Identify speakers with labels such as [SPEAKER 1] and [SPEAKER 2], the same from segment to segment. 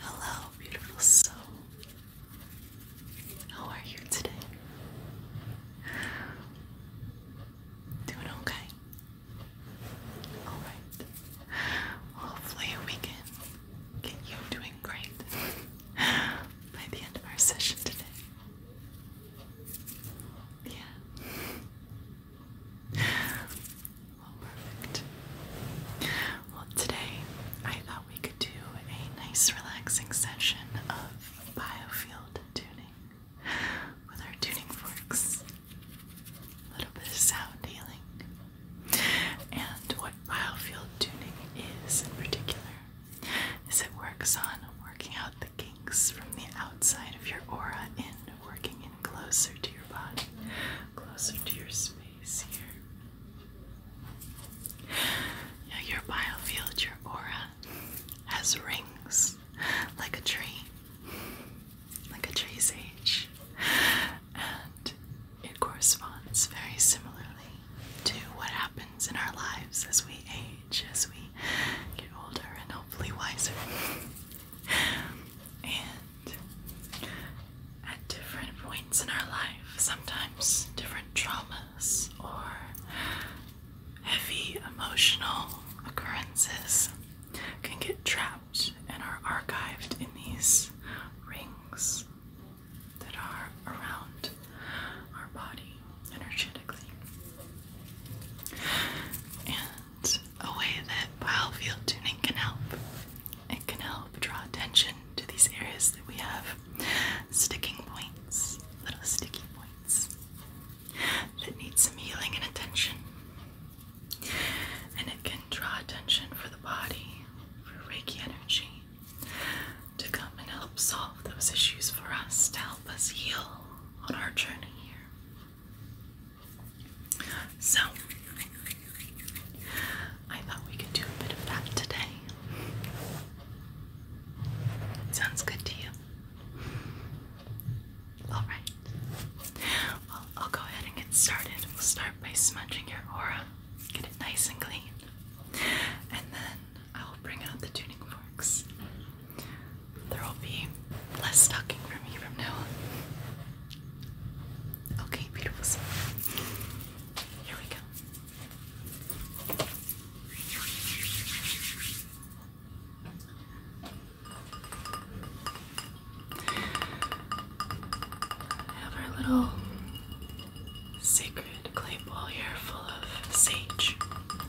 [SPEAKER 1] Hello, beautiful soul. How are you today? Doing okay? Alright. Hopefully, we can get you doing great by the end of our session today. Yeah. Well, perfect. Well, today I thought we could do a nice, relaxing session of biofield tuning with our tuning forks. A little bit of sound healing. And what biofield tuning is in particular is it works on working out the kinks from the outside of your aura in, working in closer to your body, closer to your space here. Now your biofield, your aura, has rings like a tree, like a tree's age, and it corresponds very similarly to what happens in our lives as we age, as we get older, and hopefully wiser. and at different points in our life, sometimes different traumas or heavy emotional occurrences can get trapped and are archived in these rings that are around our body energetically. And a way that biofield tuning can help. It can help draw attention to these areas that we have sticking points, little sticky points that need some healing and attention. And it can draw attention for the body, for Reiki energy, to come and help solve those issues for us, to help us heal on our journey here. So, I thought we could do a bit of that today. Sounds good to you? Alright. I'll go ahead and get started. We'll start by smudging your aura, get it nice and clean, and then I will bring out the tuning forks. There will be less talking for me from now Okay, beautiful soul. Here we go. Have our little sacred clay bowl here full of sage,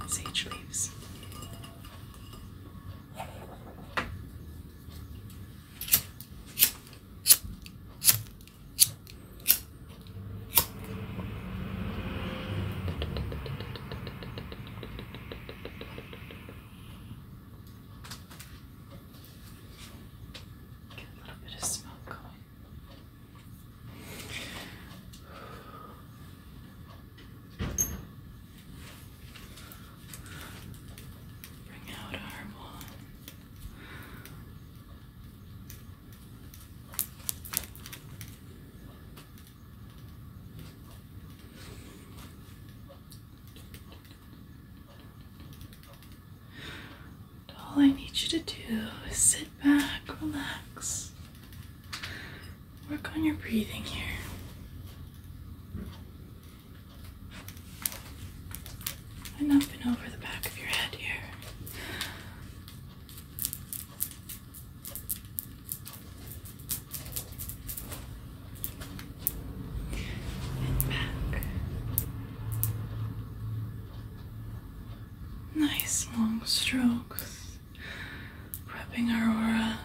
[SPEAKER 1] sage leaves. Get a little bit of smoke going. Bring out our one all I need you to do is sit back, relax, work on your breathing here. And up and over the back of your head here. And back. Nice long strokes, prepping our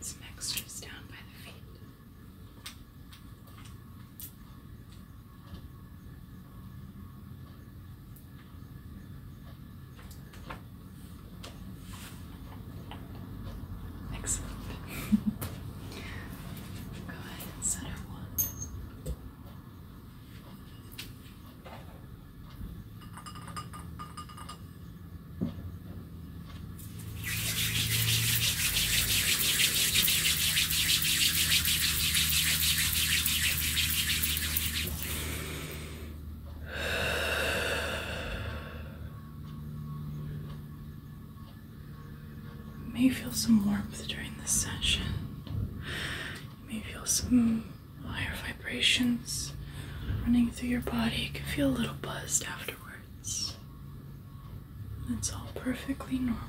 [SPEAKER 1] Some extras down by the feet. Excellent. Go ahead and center one. You may feel some warmth during this session. You may feel some higher vibrations running through your body. You can feel a little buzzed afterwards. That's all perfectly normal.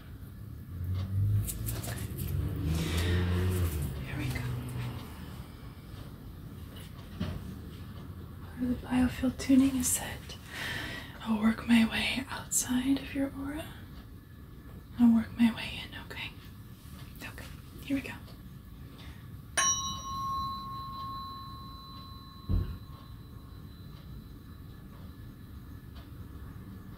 [SPEAKER 1] Here we go. the biofield tuning is set. I'll work my way outside of your aura. I'll work my way in, okay? Okay, here we go.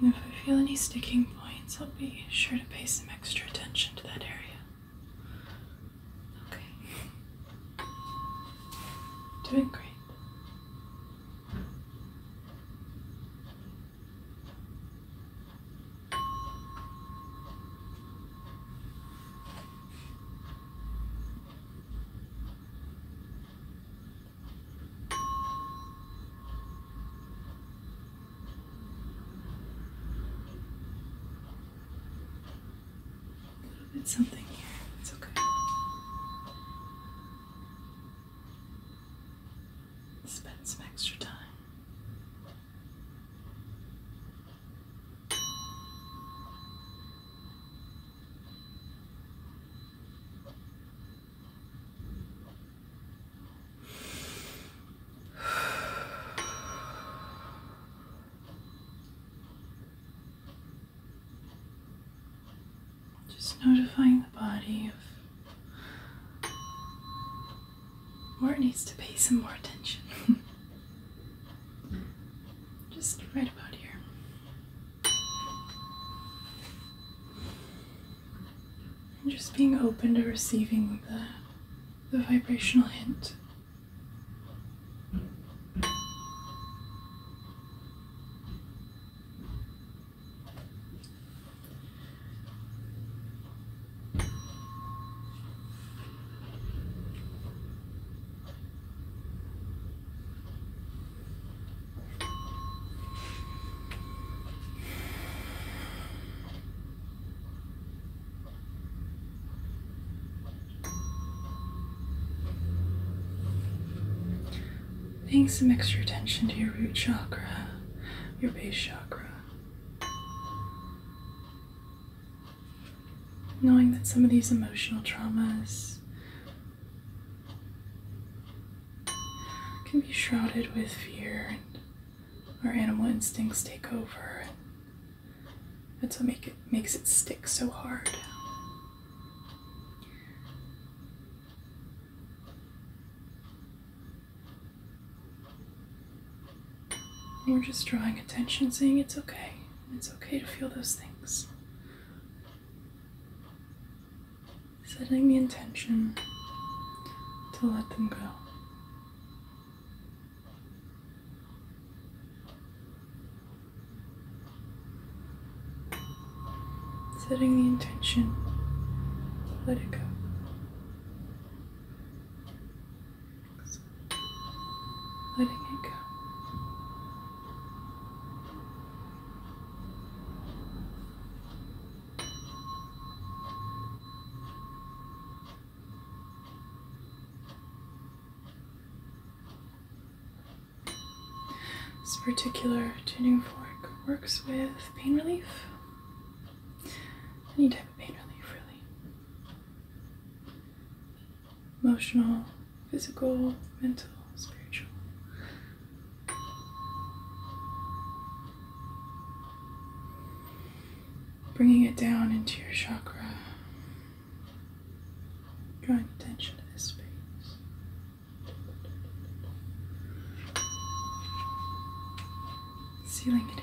[SPEAKER 1] And if I feel any sticking points, I'll be sure to pay some extra attention to that area. Okay. Doing great. It's something here. It's okay. Spend some extra time. Just notifying the body of where it needs to pay some more attention. Just right about here. And just being open to receiving the, the vibrational hint. Paying some extra attention to your root chakra, your base chakra. Knowing that some of these emotional traumas can be shrouded with fear and our animal instincts take over. That's what make it makes it stick so hard. we're just drawing attention, saying it's okay. It's okay to feel those things setting the intention to let them go. Setting the intention to let it go. Letting it go. This particular tuning fork works with pain relief. Any type of pain relief, really. Emotional, physical, mental, spiritual. Bringing it down into your chakra, drawing attention to this space. Sealing it in.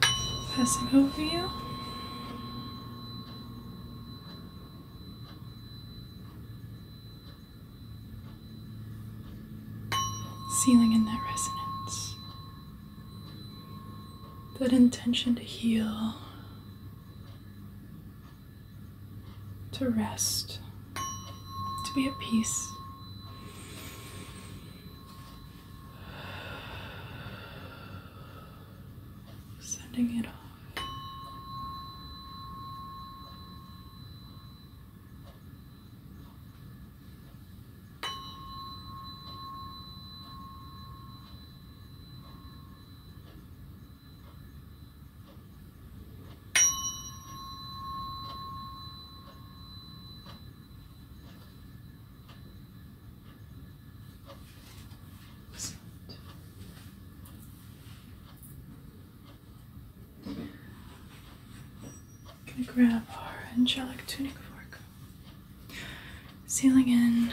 [SPEAKER 1] Passing over you. Sealing in that resonance, that intention to heal, to rest, to be at peace. Sending it off. I'm gonna grab our angelic tunic fork, sealing in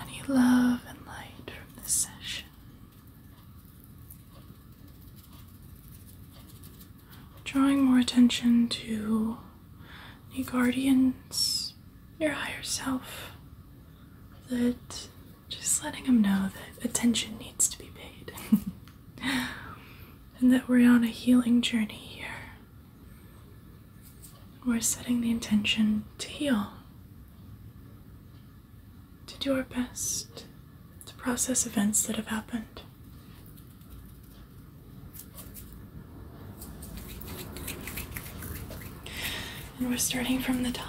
[SPEAKER 1] any love and light from this session drawing more attention to the guardians, your higher self, that just letting them know that attention needs to be paid. and that we're on a healing journey here. We're setting the intention to heal, to do our best, to process events that have happened. And we're starting from the top.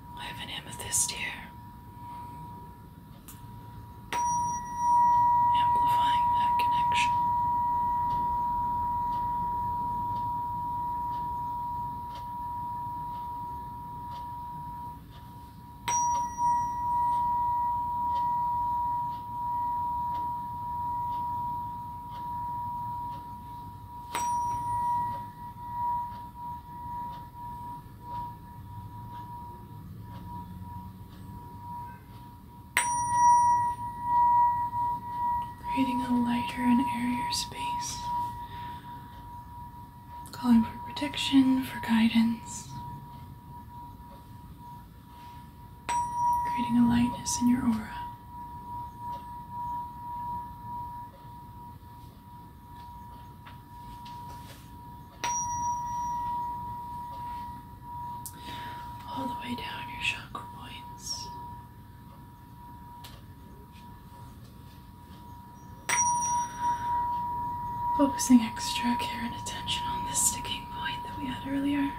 [SPEAKER 1] I have an amethyst here. Amplifying that connection. Creating a lighter and airier space, calling for protection, for guidance, creating a lightness in your aura all the way down your chakra points. Focusing extra care and attention on this sticking point that we had earlier.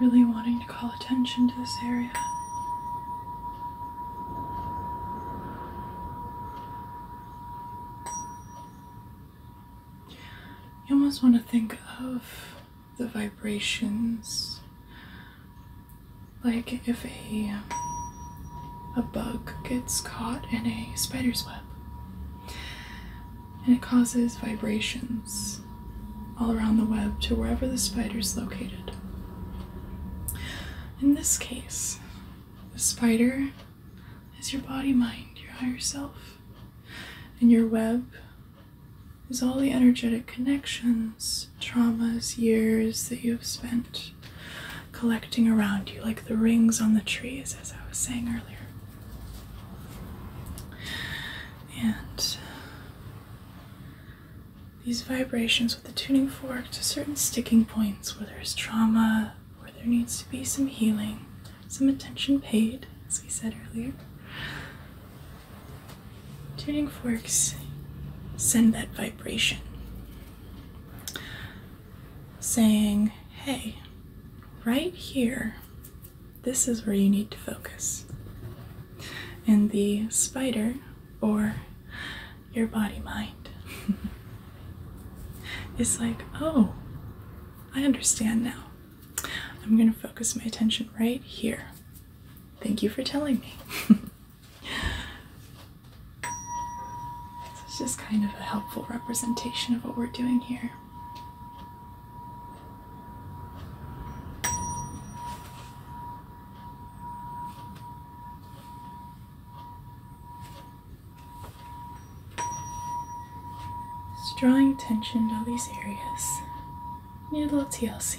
[SPEAKER 1] Really wanting to call attention to this area. You almost want to think of the vibrations like if a a bug gets caught in a spider's web and it causes vibrations all around the web to wherever the spider's located. In this case, the spider is your body mind, your higher self, and your web is all the energetic connections, traumas, years that you have spent collecting around you, like the rings on the trees, as I was saying earlier. And these vibrations with the tuning fork to certain sticking points where there's trauma, where there needs to be some healing, some attention paid, as we said earlier. Tuning forks send that vibration saying, hey, right here, this is where you need to focus. And the spider or your body mind It's like, oh, I understand now. I'm going to focus my attention right here. Thank you for telling me. This is just kind of a helpful representation of what we're doing here. Just drawing attention to all these areas. Need a little TLC.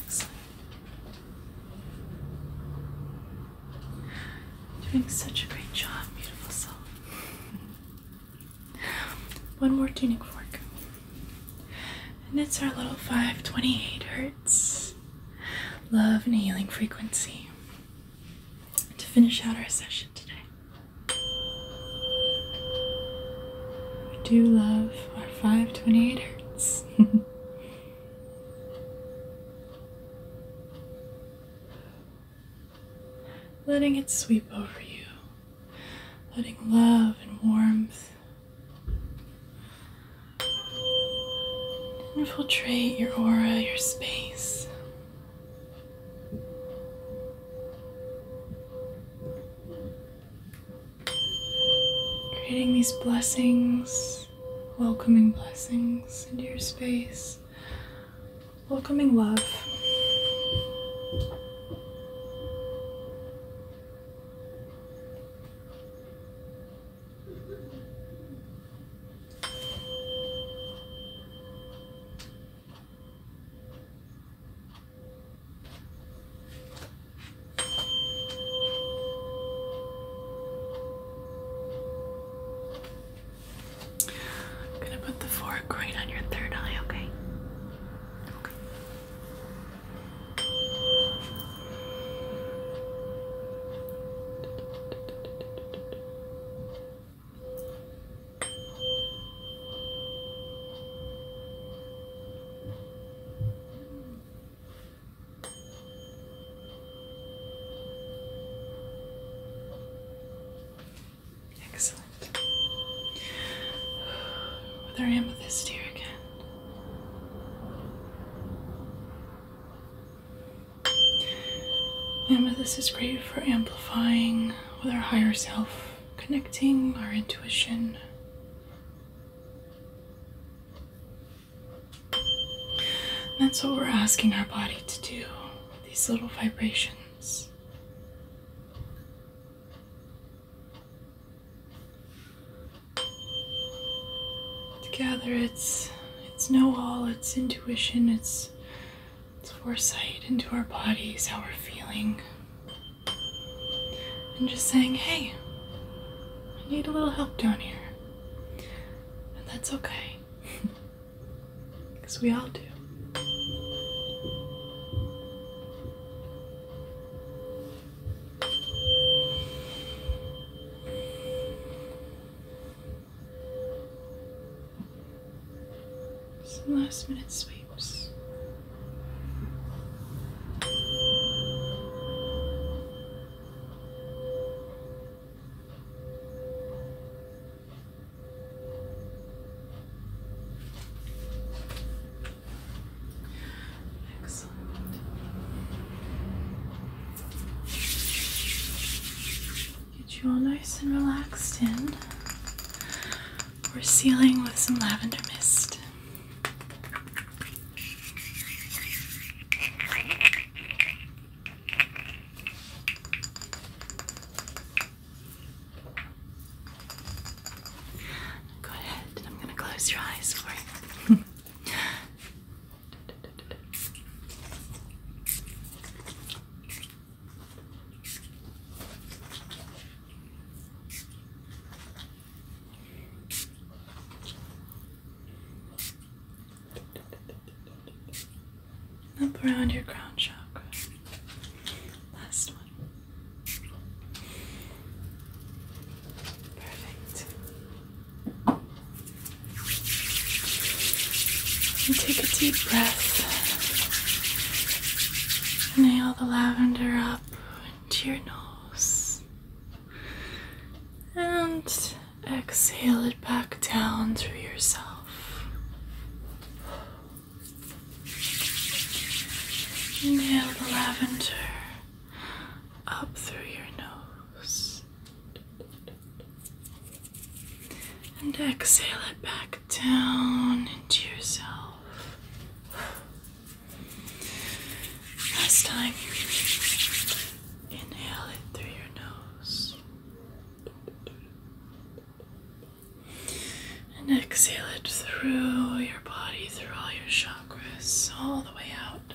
[SPEAKER 1] Excellent. Doing such a great job, beautiful soul. One more tuning fork. And it's our little 528 hertz love and healing frequency to finish out our session today. We do love our 528 hertz. letting it sweep over you, letting love and warmth infiltrate your aura, your space. Creating these blessings, welcoming blessings into your space, welcoming love. I'm gonna put the fork right on your third eye, Okay. Excellent. Whether I am with this again. Remember, this is great for amplifying with our higher self, connecting our intuition. that's what we're asking our body to do, these little vibrations. Together, its its know all, its intuition, its this foresight into our bodies, how we're feeling, and just saying, hey, I need a little help down here. And that's okay, because we all do. Some last minute sweeps. Excellent. Get you all nice and relaxed in. We're sealing with some lavender mist. Go ahead, I'm going to close your eyes for you. Up around your crown chakra. Last one. Perfect take a deep breath. Inhale the lavender up into your nose. And exhale it back down through yourself. Inhale the lavender up through your nose and exhale it back down into yourself. Last time, inhale it through your nose and exhale it through your body, through all your chakras, all the way out.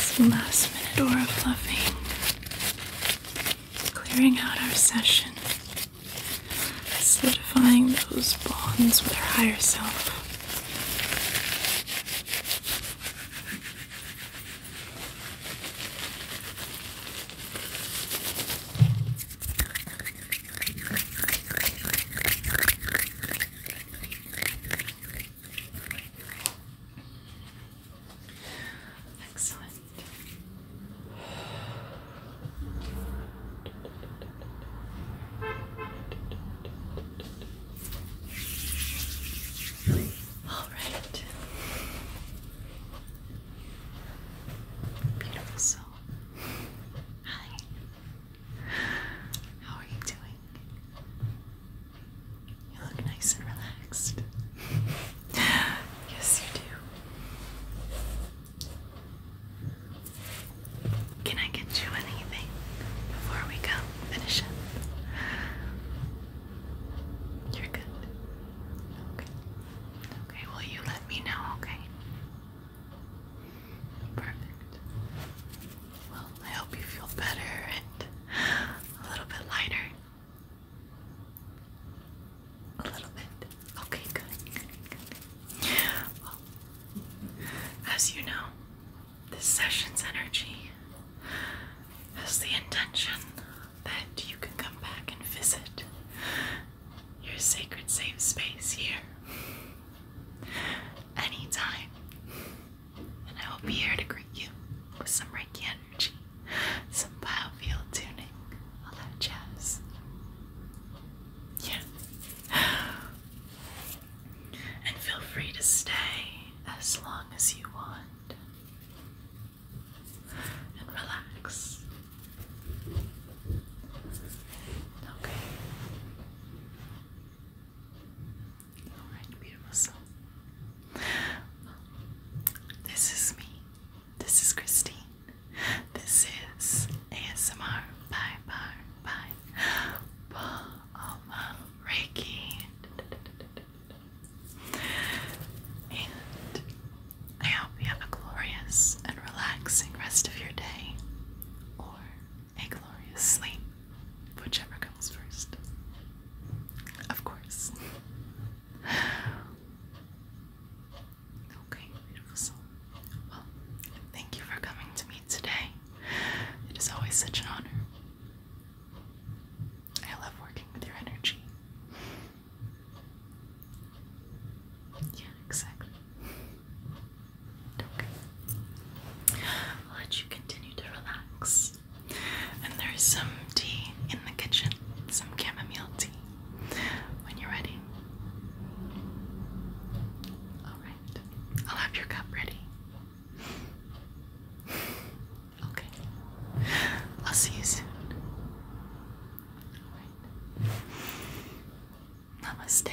[SPEAKER 1] Some last minute aura fluffing, clearing out our session, solidifying those bonds with our higher self. Excellent. All right. Beautiful. Hi. How are you doing? You look nice and relaxed. yes, you do. Can I get you anything before we go finish up? You're good. Okay. Okay, will you let me know, okay? Perfect. Well, I hope you feel better and a little bit lighter. A little bit. Okay, good. Well, as you know, this session's energy has the intention that you can come back and visit your sacred safe space here anytime. And I will be here to greet you with some Reiki energy, some biofield tuning, all that jazz. Yeah. And feel free to stay as long as you want. And relax. Okay. Alright, beautiful soul. this is me. This is Christine. This is ASMR Bye Bar Bye Paloma Reiki. And I hope you have a glorious and relaxing rest of your day, or a glorious sleep, whichever comes first. Of course. Okay, beautiful soul. Well, thank you for coming to me today. It is always such an honor. I love working with your energy. Yeah, exactly. okay. I'll let you continue to relax. And there's some tea in the kitchen, some chamomile tea. When you're ready. Alright. I'll have your cup ready. Okay. I'll see you soon. Right. Namaste.